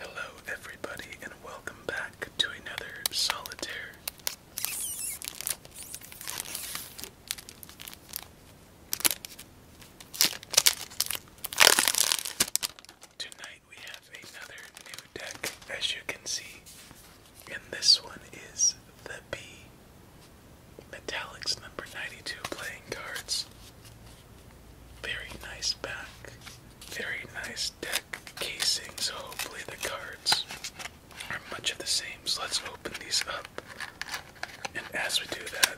Hello, everybody, and welcome back to another solitaire. Tonight we have another new deck, as you can see, and this one is the Bee. Metallics number 92 playing cards. Very nice back. Very nice deck casings. hopefully the cards are much of the same. So let's open these up. And as we do that,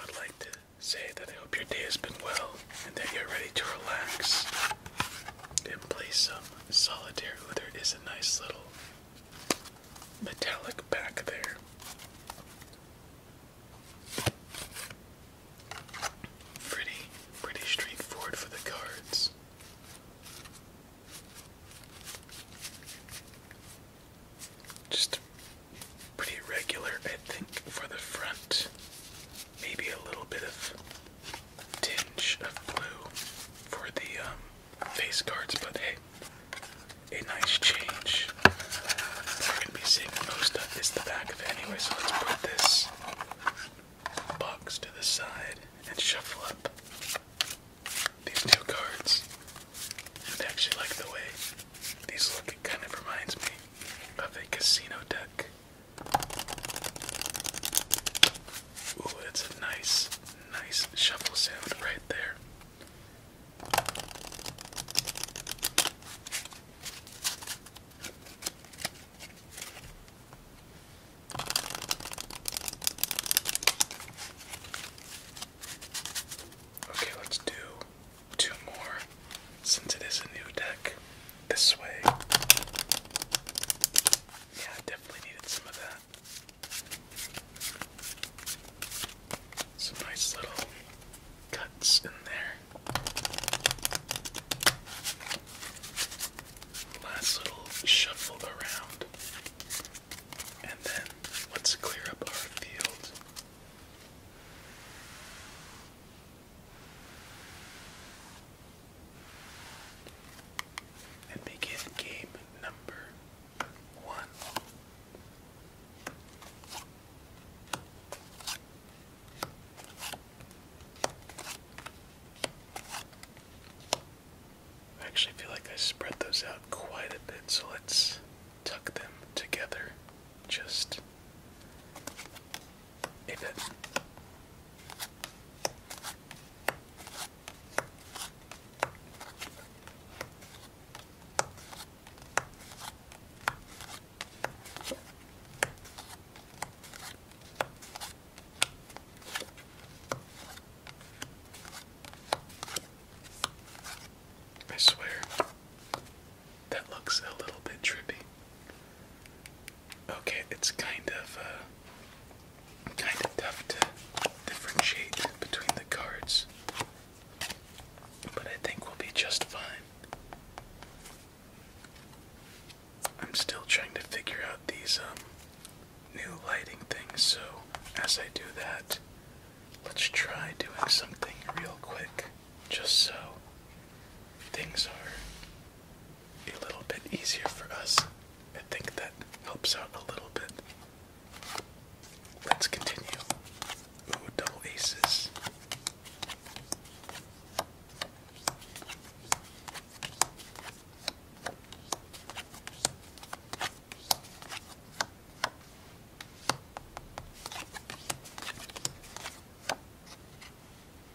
I'd like to say that I hope your day has been well and that you're ready to relax and play some solitaire. There is a nice little metallic back there. Pretty, pretty straightforward for the cards. Just pretty regular, I think, for the front. Maybe a little bit of tinge of blue for the um, face cards, but hey, a nice change. We're gonna be seeing most of is the back of it anyway, so let's put this box to the side and shuffle up these new cards. I actually like the way these look, it kind of reminds me of a casino deck. Ooh, it's a nice, nice shuffle sound right there. Okay, let's do two more since it is a new deck this way. Yeah, I definitely needed some of that. Some nice little cuts in there. Last little shuffle around. And then let's clear up our field. And begin game number one. I actually feel like I spread those out quite a bit, so let's tuck them together just a bit. I swear, that looks a little bit trippy. Okay, it's kind of uh, kind of tough to differentiate between the cards. But I think we'll be just fine. I'm still trying to figure out these um, new lighting things, so as I do that, let's try doing something real quick just so things are a little bit easier for us. I think that helps out a little bit. Let's continue. Ooh, double aces.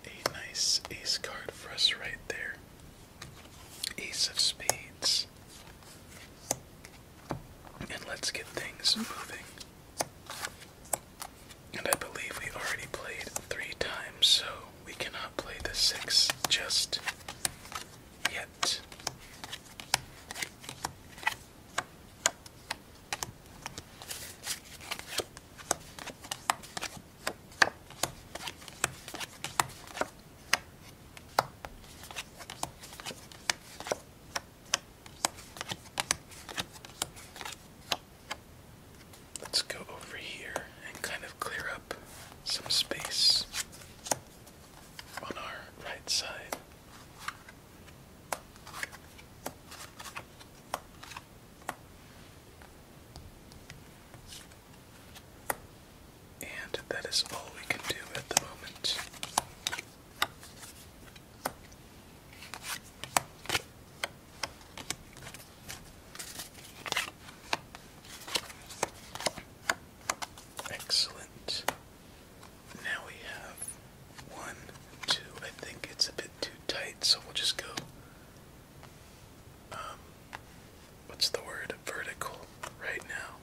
A nice ace card for us right there. Ace of spades. And let's get things moving. And I believe we already played three times, so we cannot play the six just yet. Let's go over here and kind of clear up some space on our right side. And that is all we can do at the moment. Excellent. Now we have one, two. I think it's a bit too tight, so we'll just go. Um, what's the word? Vertical right now.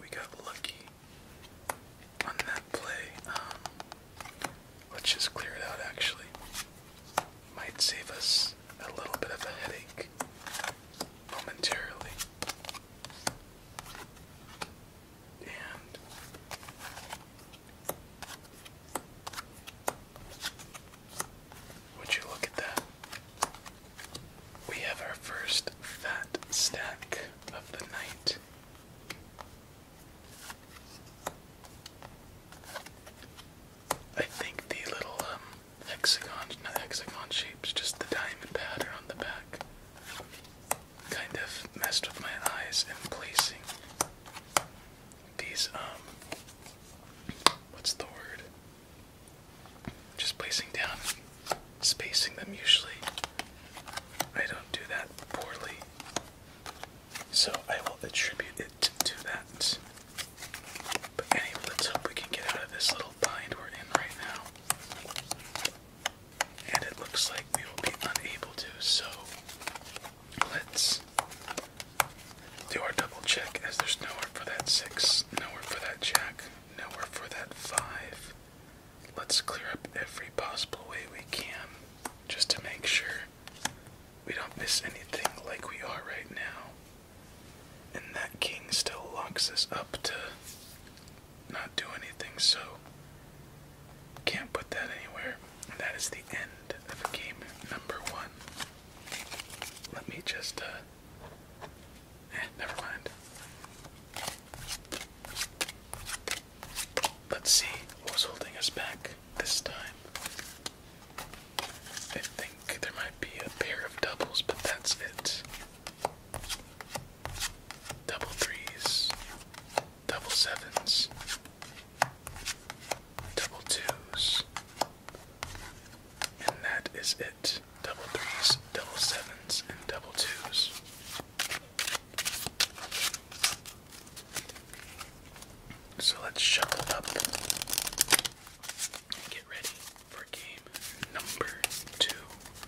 We got lucky on that play. Um, let's just clear it out actually. Might save us a little bit of a headache momentarily would you look at that? We have our first fat stack of the night. I think the little um, hexagon shapes, just the diamond pattern on the back kind of messed with my eyes in placing these, um, what's the word? Just placing down, spacing them usually. I don't do that poorly. So I will attribute it to that. But anyway, let's hope we can get out of this little bind we're in right now and it looks like we will be unable to, so let's do our double check as there's nowhere for that six, nowhere for that jack, nowhere for that five. Let's clear up every possible way we can just to make sure we don't miss anything like we are right now. And that king still locks us up to not do anything, so can't put that anywhere. that is the end of game number one. Let me just, uh, eh, never mind. Let's see what was holding us back this time. I think there might be a pair of doubles, but that's it double threes, double sevens, double twos, and that is it. Double threes, double sevens, and double twos. So let's shuffle up and get ready for game number two.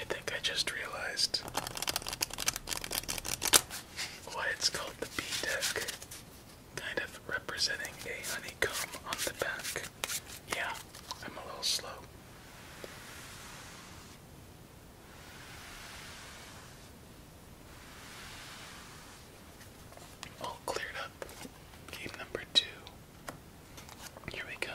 I think I just realized why it's called the bee deck. Kind of representing a honeycomb on the back. Yeah, I'm a little slow. All cleared up. Game number two. Here we come.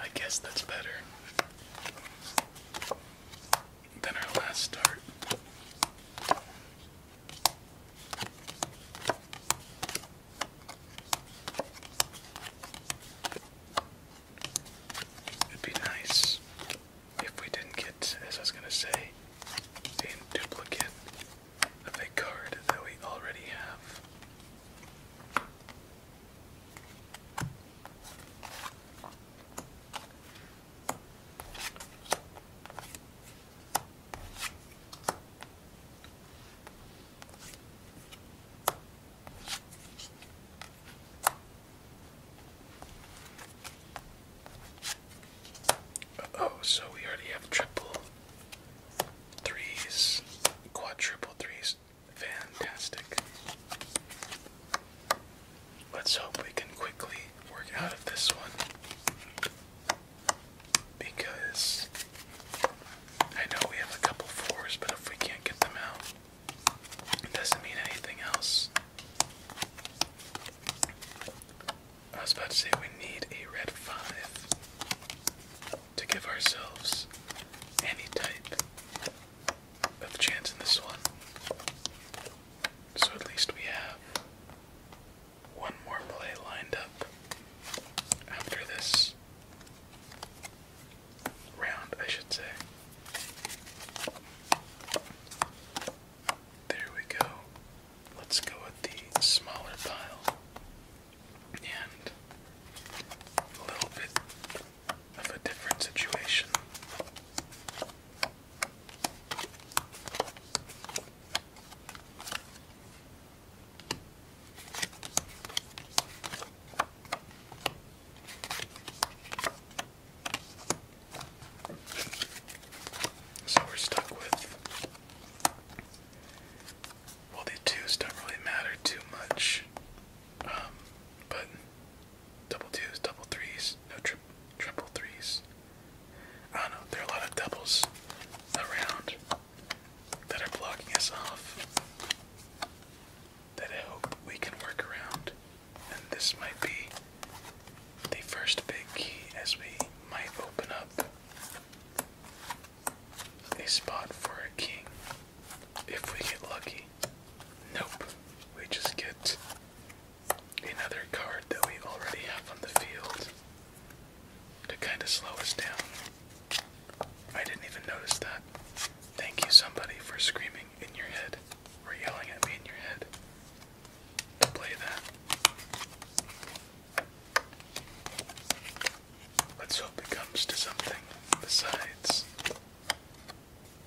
I guess that's better than our last start. would be nice if we didn't get, as I was going to say, a duplicate a card that we already have oh, so we already have triple threes, quadruple threes. Fantastic. Let's hope we can quickly work out of this one. Because I know we have a couple fours, but if we can't get them out, it doesn't mean anything else. I was about to say we need a red 5 to give ourselves any type of chance in this one. So at least we have one more play lined up after this round, I should say. There we go. Let's go with the smaller pile and a little bit of a different situation. So we're stuck with well, the twos don't really matter too much, um, but double twos, double threes, no triple threes. I know. There are a lot of doubles around that are blocking us off. That I hope we can work around, and this might be the first big key as we might open up a spot for a king. If we get lucky. Nope. We just get another card that we already have on the field to kind of slow us down. I didn't even notice that. Thank you, somebody, for screaming in your head or yelling at me in your head to play that. Let's hope it comes to something besides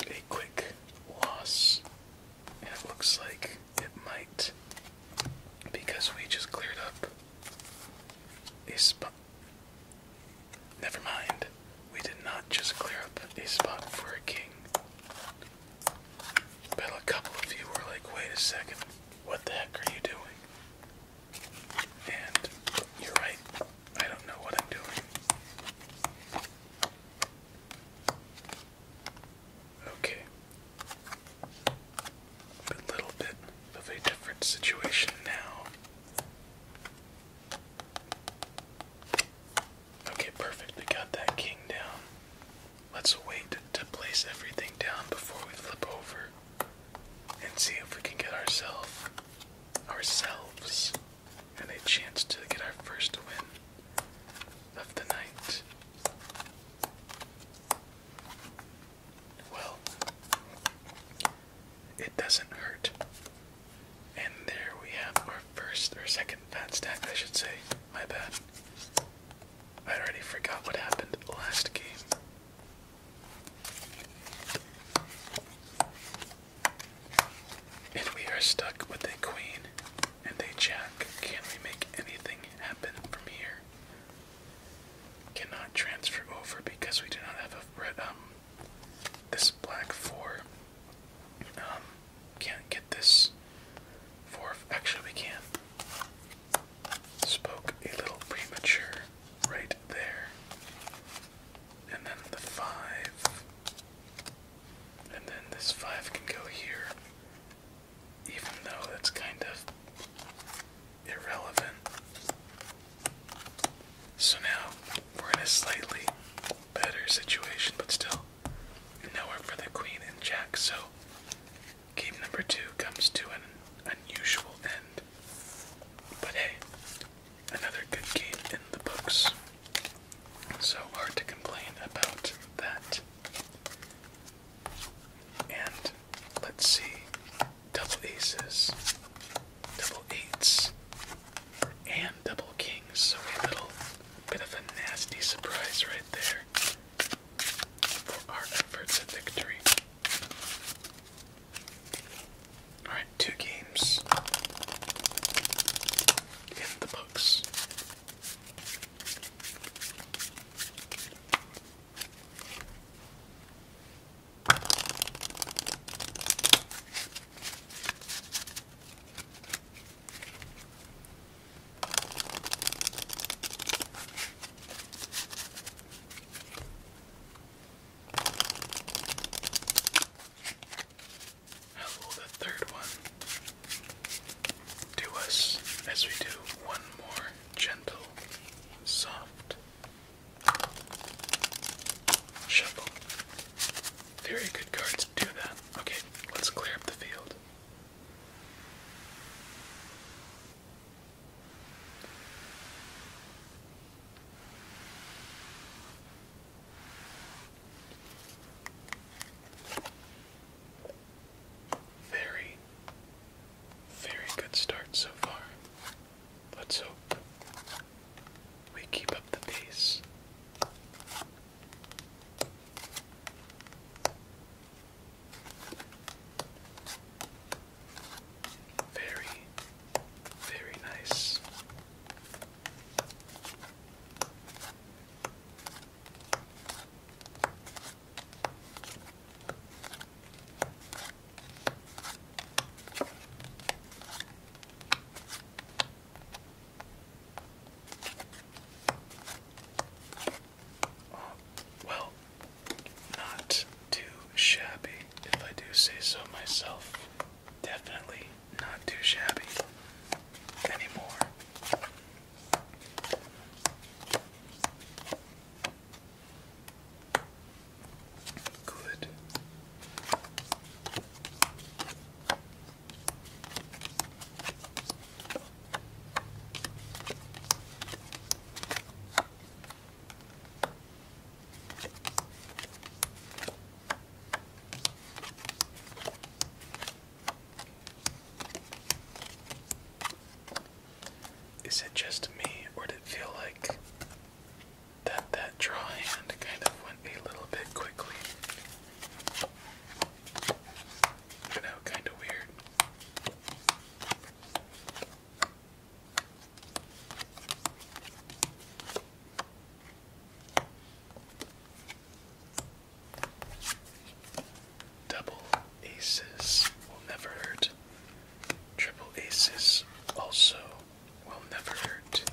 a quick loss. it looks like it might because we just cleared up a spot. Never mind. We did not just clear up a spot for a king. But a couple of you were like, wait a second, what the heck are you doing? And you're right, I don't know what I'm doing. Okay. A little bit of a different situation now. Okay, perfect. We got that king down. Let's wait to place everything down before we flip over and see if we can get ourselves ourselves and a chance to get our first win of the night. Well, it doesn't hurt. And there we have our first or second fat stack, I should say. My bad. I already forgot what happened last game. And we are stuck with a queen and a jack. Can we make anything happen from here? Cannot transfer over because we do not have a red um this black four. Um can't this for actually we can. Spoke a little premature right there. And then the five. And then this five can go here. Even though it's kind of irrelevant. So now we're in a slightly better situation, but still nowhere for the queen and jack. So Game number two comes to an unusual end. But hey, another good game in the books. So hard to complain about that. And let's see double aces, double eights, and double kings. So a little bit of a nasty surprise right there for our efforts at victory. Alright, two games in the books. Hello, oh, the third one. Do us as we do one more gentle, soft shuffle. Very good cards do that. Okay, let's clear up the field. Very, very good start so far. Let's hope we keep up the pace. Very, very nice well, not too shabby, if I do say so myself. Definitely not too shabby anymore. Good. Is it just me, or did it feel like that that draw hand kind of went a little bit quickly? Double aces will never hurt. Triple aces also will never hurt.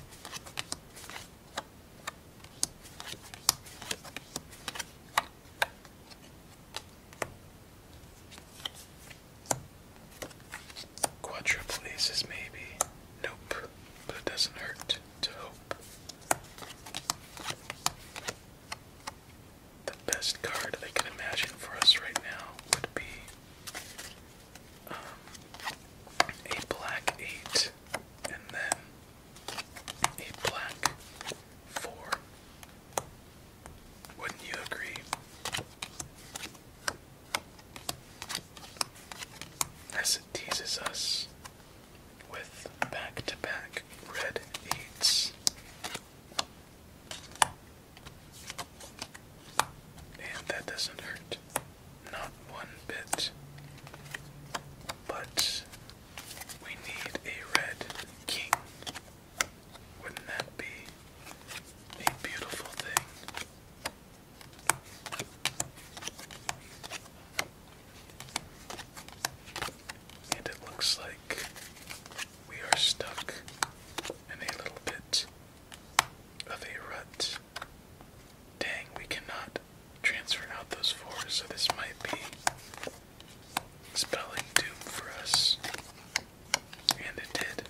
Quadruple maybe. Nope, but it doesn't hurt to hope. The best card I can imagine for us right now would be um, a black eight, and then a black four. Wouldn't you agree? As it teases us with back to back red eights. And that doesn't hurt. Not one bit. But we need a red king. Wouldn't that be a beautiful thing? And it looks like we are stuck in a little bit of a rut. Dang, we cannot did out those fours, so this might be spelling doom for us. And it did.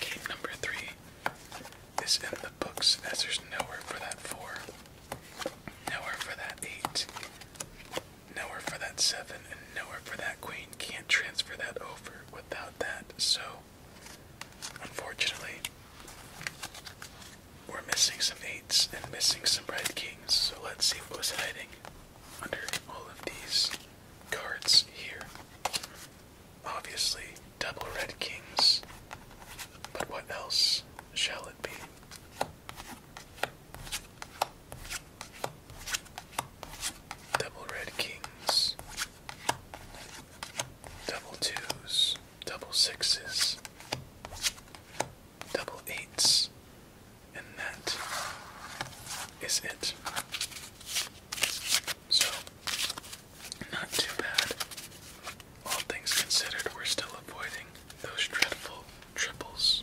Game number three is in the books as there's nowhere for that four, nowhere for that eight, nowhere for that seven, and nowhere for that queen. Can't transfer that over without that, so unfortunately, we're missing some eights and missing some red kings, so let's see what was hiding under all of these cards here. Obviously, double red kings, but what else shall it be? Double red kings, double twos, double sixes, double eights, and that is it. So, not too bad. All things considered, we're still avoiding those dreadful triples.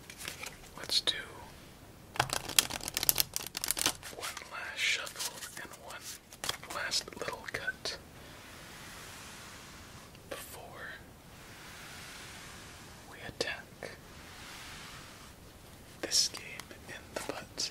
Let's do one last shuffle and one last little cut before we attack this game in the butt.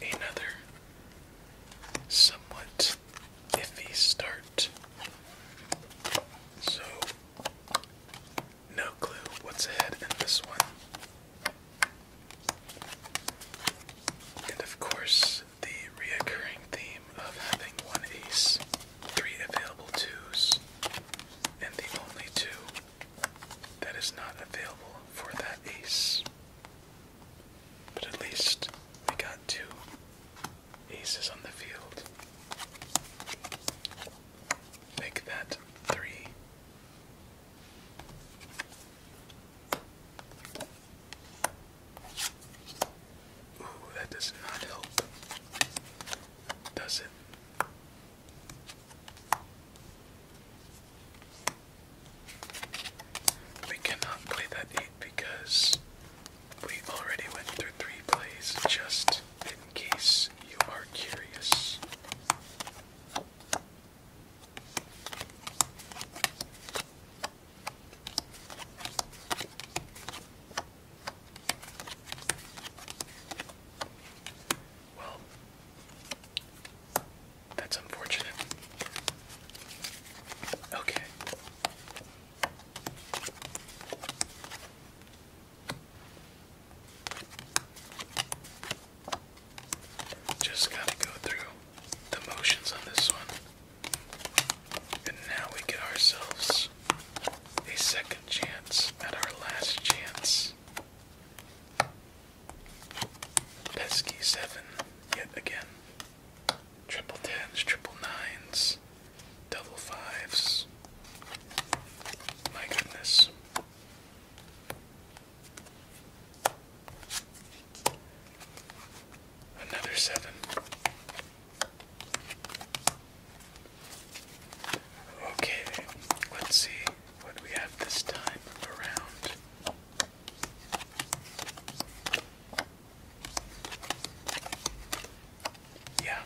Another somewhat iffy start. So, no clue what's ahead in this one. And of course, the reoccurring theme of having one ace, three available twos, and the only two that is not available for that ace. But at least we got two aces on the field. Make that three. Ooh, that does not help. Does it? We cannot play that 8 because we already went through 3 plays just in case you are curious. Well, that's unfortunate. Okay. Just gotta go through the motions on this one. And now we get ourselves a second chance at our last chance. Pesky seven, yet again. Triple tens, triple nines, double fives. My goodness. Another seven. Okay, let's see what we have this time around? Yeah,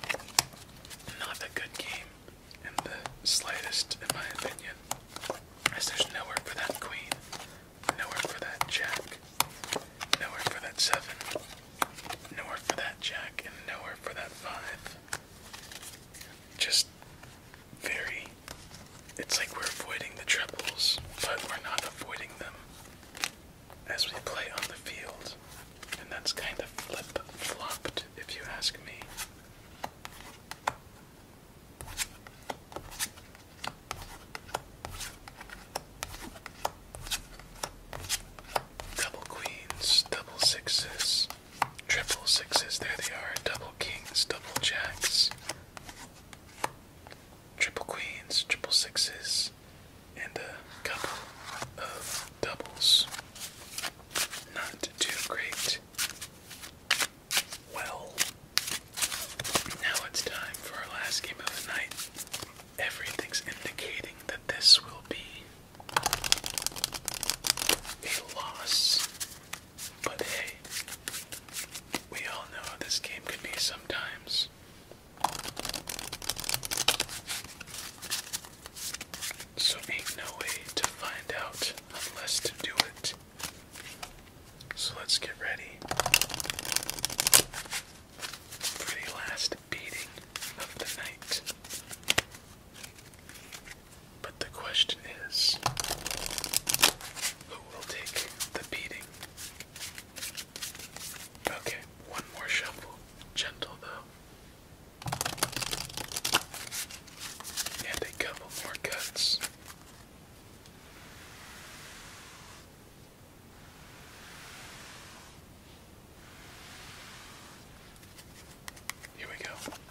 not a good game in the slightest, in my opinion. As there's nowhere for that queen, nowhere for that jack, nowhere for that seven, nowhere for that jack, and nowhere for that five just very. It's like we're avoiding the trebles, but we're not avoiding them as we play on the field. And that's kind of flip flopped, if you ask me. Double queens, double sixes. Triple sixes, there they are. Double kings, double jacks, triple queens, triple sixes, and a couple of doubles. Not too great. Well, now it's time for our last game of the night. Everything's indicating that this will be a loss. But hey, we all know how this game can be sometimes. So ain't no way to find out unless to do it. So let's get ready for last beating of the night. But the question is who will take the beating? Okay, one more shuffle. Gentle though. And a couple more cuts. Here we go.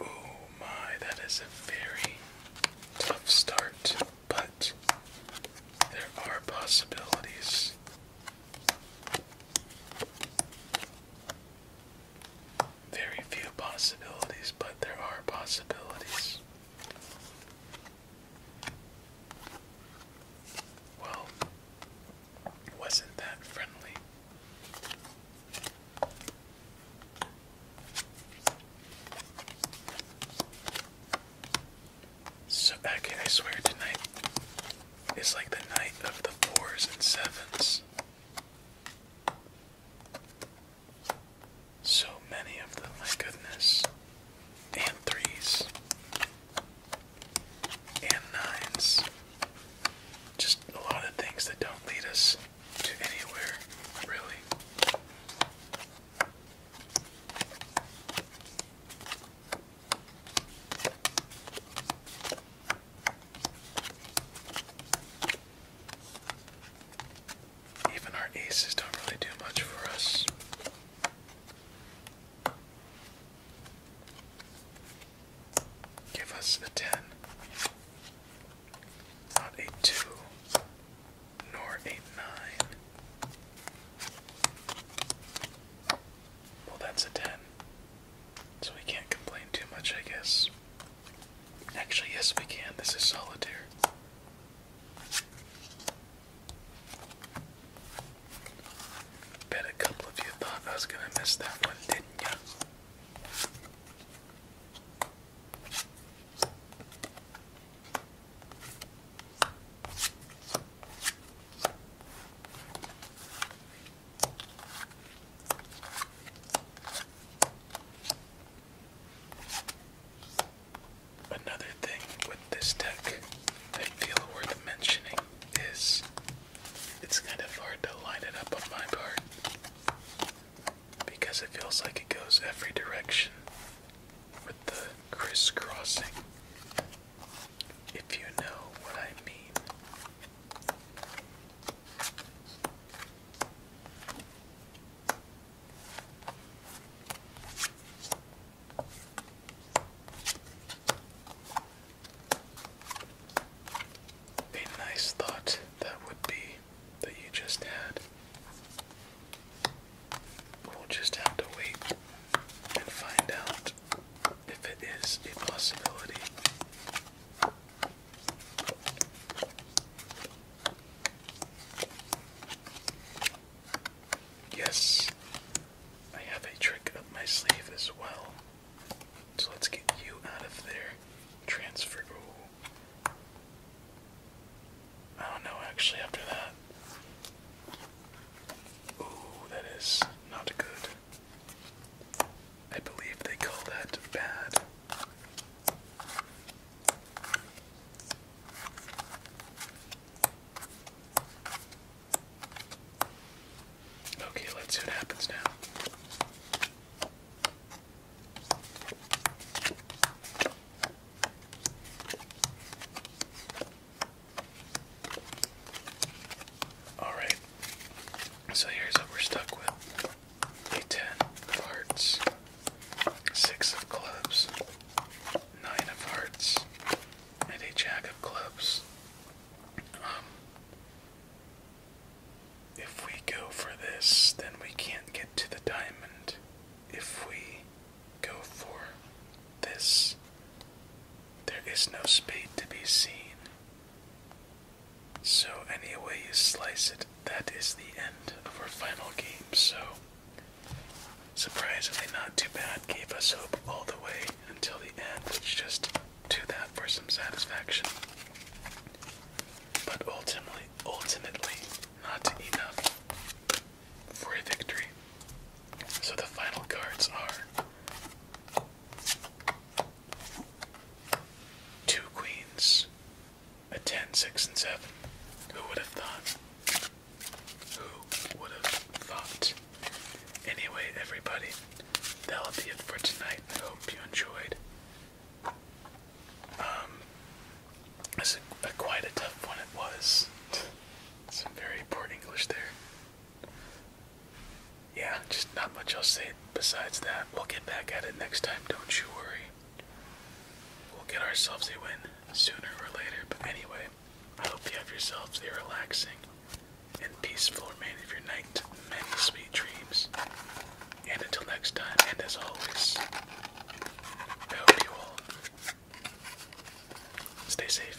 Oh my, that is a very tough start, but there are possibilities. Very few possibilities, but there are possibilities. Well, wasn't that friendly? So, okay, I swear tonight is like the night of the fours and sevens. So many of them, my goodness. And threes. And nines. Just a lot of things that don't lead us to anywhere, really. Even our aces don't really do much for us. Give us a 10, not a 2, nor a 9. Well, that's a 10. So we can't complain too much, I guess. Actually, yes, we can. This is solitaire. Bet a couple of you thought I was gonna miss that one, didn't ya? Another thing with this deck I feel worth mentioning is it's kind of hard to line it up on my part because it feels like it goes every direction with the crisscrossing. If you know what I mean. A nice thought that would be that you just had. We'll just have to wait and find out if it is a possibility. Yes, I have a trick up my sleeve as well. So let's get you out of there. Transfer. I don't know actually after that. Ooh, that is not good. I believe they call that bad. Okay, let's see what happens now. All right, so here's what we're stuck with a ten of hearts, six of clubs, nine of hearts, and a jack of clubs. Um, if we go for this, then we can't get to the diamond. If we go for this, there is no spade to be seen. So, any way you slice it, that is the end of our final game. So, surprisingly, not too bad. Gave us hope all the way until the end. Let's just do that for some satisfaction. But ultimately, ultimately, not enough for a victory. So, the final cards are Two queens, a ten, six, and 7. Who would have thought? Who would have thought? Anyway, everybody, that'll be it for tonight. I hope you enjoyed. Um, this quite a tough one, it was. Some very poor English there. Yeah, just not much else to say besides that, we'll get back at it next time, don't you worry. We'll get ourselves a win sooner or later. But anyway, I hope you have yourselves a relaxing and peaceful remainder of your night. Many sweet dreams. And until next time, and as always, I hope you all stay safe